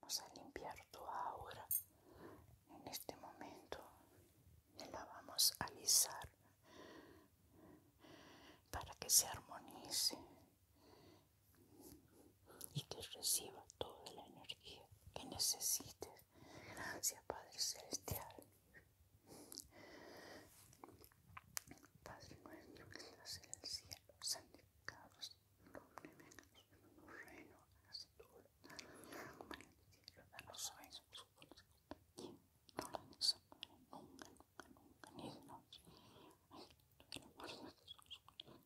Vamos a limpiar tu aura en este momento y la vamos a alisar para que se armonice y que reciba toda la energía que necesites. Gracias, Padre Celestial. Padre nuestro que estás en el cielo, santificado sea tu nombre, venga tu reino, hágase tu voluntad, como en el cielo, danos hoy nuestro pan de cada día, no la desampares nunca, nunca, nunca, ni de noche, ay, tú que lo guardas de sus manos,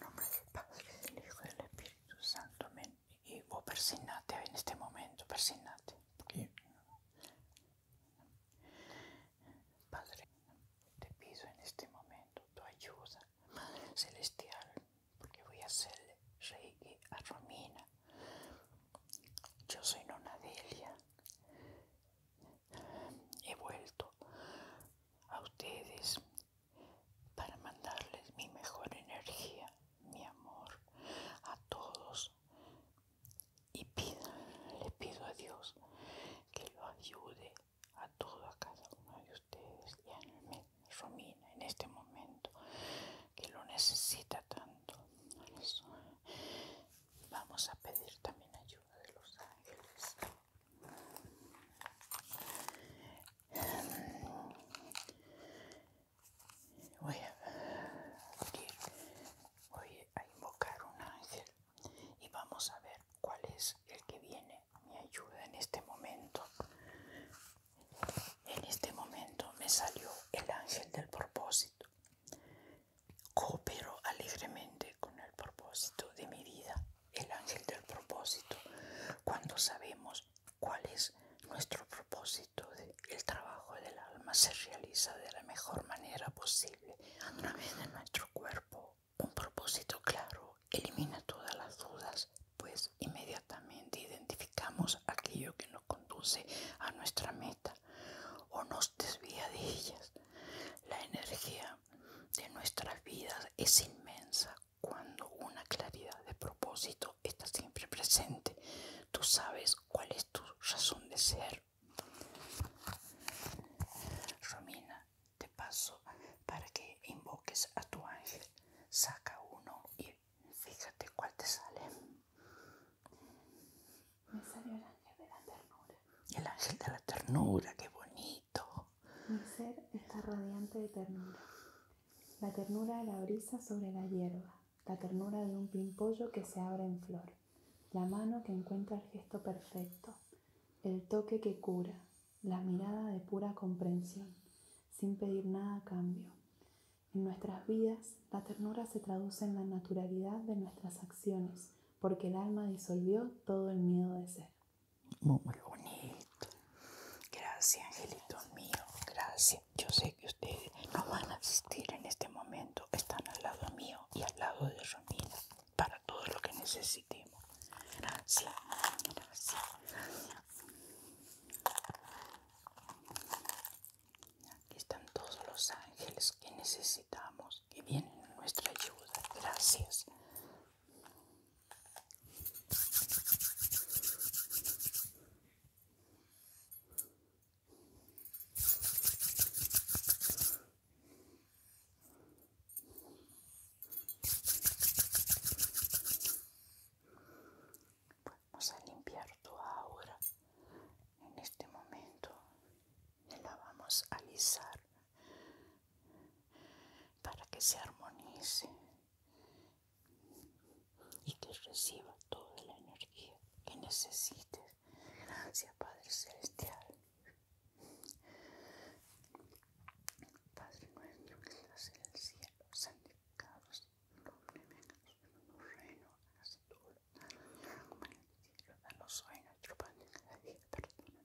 No me Padre, el Hijo del Espíritu Santo y vos persignate en este momento, persignate. Padre, te pido en este momento tu ayuda, Celestial, porque voy a hacerle rey a Romina. Yo soy Nona Delia. He vuelto a ustedes para mandarles mi mejor energía mi amor a todos y pido, le pido a Dios que lo ayude a todo, a cada uno de ustedes y a Romina en este momento que lo necesita tanto. Vamos a pedir también ayuda de los ángeles voy a invocar un ángel y vamos a ver cuál es el que viene mi ayuda en este momento. En este momento me salió el ángel del propósito. Coopero alegremente con el propósito de mi vida, el ángel del propósito. Cuando sabemos cuál es nuestro propósito. el trabajo del alma se realiza de la mejor manera posible a través de nuestro cuerpo. Un propósito claro elimina todas las dudas, pues inmediatamente identificamos aquello que nos conduce a nuestra meta o nos desvía de ellas. La energía de nuestras vidas es inmensa cuando una claridad de propósito está siempre presente. Tú sabes cuál es tu razón de ser. Romina, te paso para que invoques a tu ángel. Saca uno y fíjate cuál te sale. Me salió el ángel de la ternura. El ángel de la ternura, qué bonito. Mi ser está radiante de ternura. La ternura de la brisa sobre la hierba, la ternura de un pimpollo que se abre en flor, la mano que encuentra el gesto perfecto, el toque que cura, la mirada de pura comprensión, sin pedir nada a cambio. En nuestras vidas, la ternura se traduce en la naturalidad de nuestras acciones, porque el alma disolvió todo el miedo de ser. Muy bonito. Gracias, angelito mío Gracias. Yo sé que ustedes no van a asistir en este momento. Están al lado mío y al lado de Romina para todo lo que necesitemos. Gracias. Gracias. Aquí están todos los ángeles que necesitamos, que vienen a nuestra ayuda. Gracias. Vamos a limpiar tu aura en este momento y la vamos a alisar para que se armonice y que reciba toda la energía que necesites. Gracias, Padre Celestial. Padre nuestro que estás en el cielo, santificado tu nombre, venga tu reino, hágase tu voluntad, como en el cielo, danos hoy nuestro pan de cada día, perdona